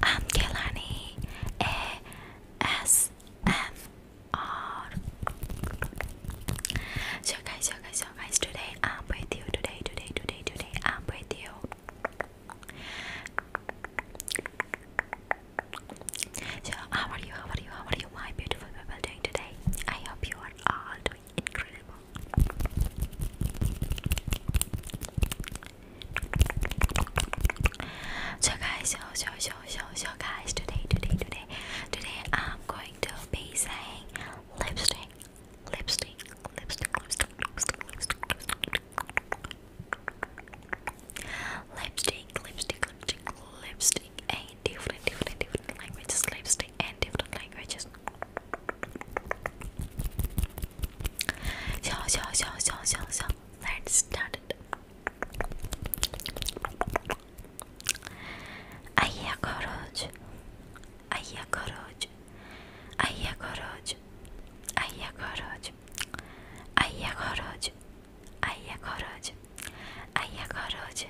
I'm Kelani ASMR. So guys, so guys, so guys, today I'm with you. Today, today, today, today, I'm with you. So how are you? How are you? How are you, my beautiful people doing today? I hope you are all so guys, so so so so so guys, today today today today I'm going to be saying lipstick, lipstick, lipstick, lipstick, lipstick, lipstick, lipstick, lipstick, lipstick, lipstick, lipstick, and different, different, different languages, lipstick, and different languages. So, so, so, so, so, so, let's start it. Aí a coragem, aí a coragem, aí a coragem, aí a coragem, aí a coragem, aí a coragem,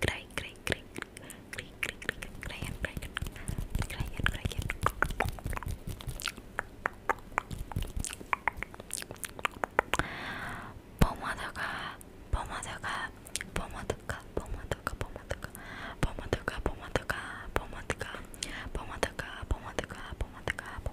cry, cry, cry, cry, cry, cry, and cry, cry, and cry, and Pomodoka, pomodoka, pomodoka, pomodoka, pomodoka, pomodoka, pomodoka, pomodoka, pomodoka, pomodoka, pomodoka,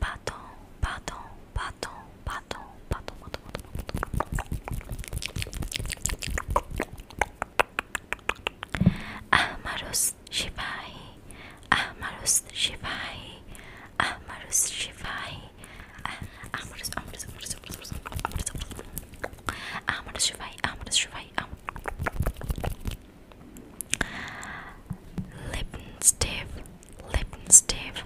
Baton, baton, baton, baton, baton, baton, baton. Ahmarus Shivai, Ahmarus Shivai, Ahmarus Shivai, Ahmarus, Ahmarus, Ahmarus, Ahmarus, Ahmarus, Ahmarus Shivai, Ahmarus Shivai, Lippenstift, Lippenstift,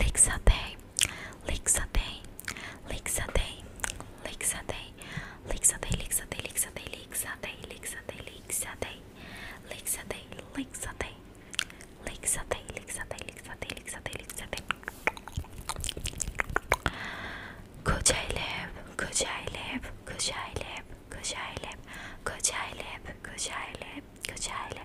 Lixatay, Lixatay, Lixatay, Lixatay, Lixatay, Lixatay, Lixatay, Lixatay, Lixatay, Lixatay, Lixatay, Lixatay, Lixatay, Lixatay, Lixatay, Lixatay, Lixatay. Kocaeliv, Kocaeliv, Kocaeliv, Kocaeliv, Kocaeliv, Kocaeliv, Kocaeliv,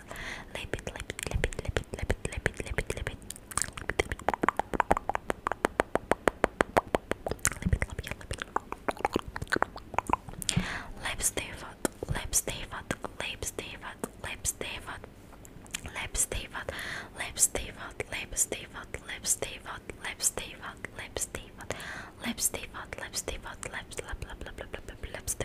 Lip it, lip it, lip it, lip it, lip it, lip it, lip it, lip it. Lips David, Lips David, Lips David, Lips David, Lips David, Lips David, Lips David, Lips David, Lips David, Lips David, Lips David, Lips David, Lips Lips Lips Lips Lips Lips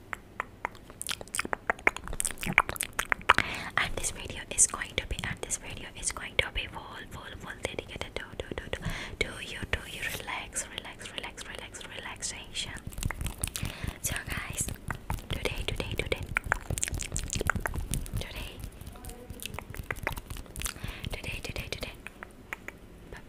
and this video is going to be and this video is going to be full full full dedicated to to to to, to you to you relax relax relax relax relaxation so guys today today today today today today today bye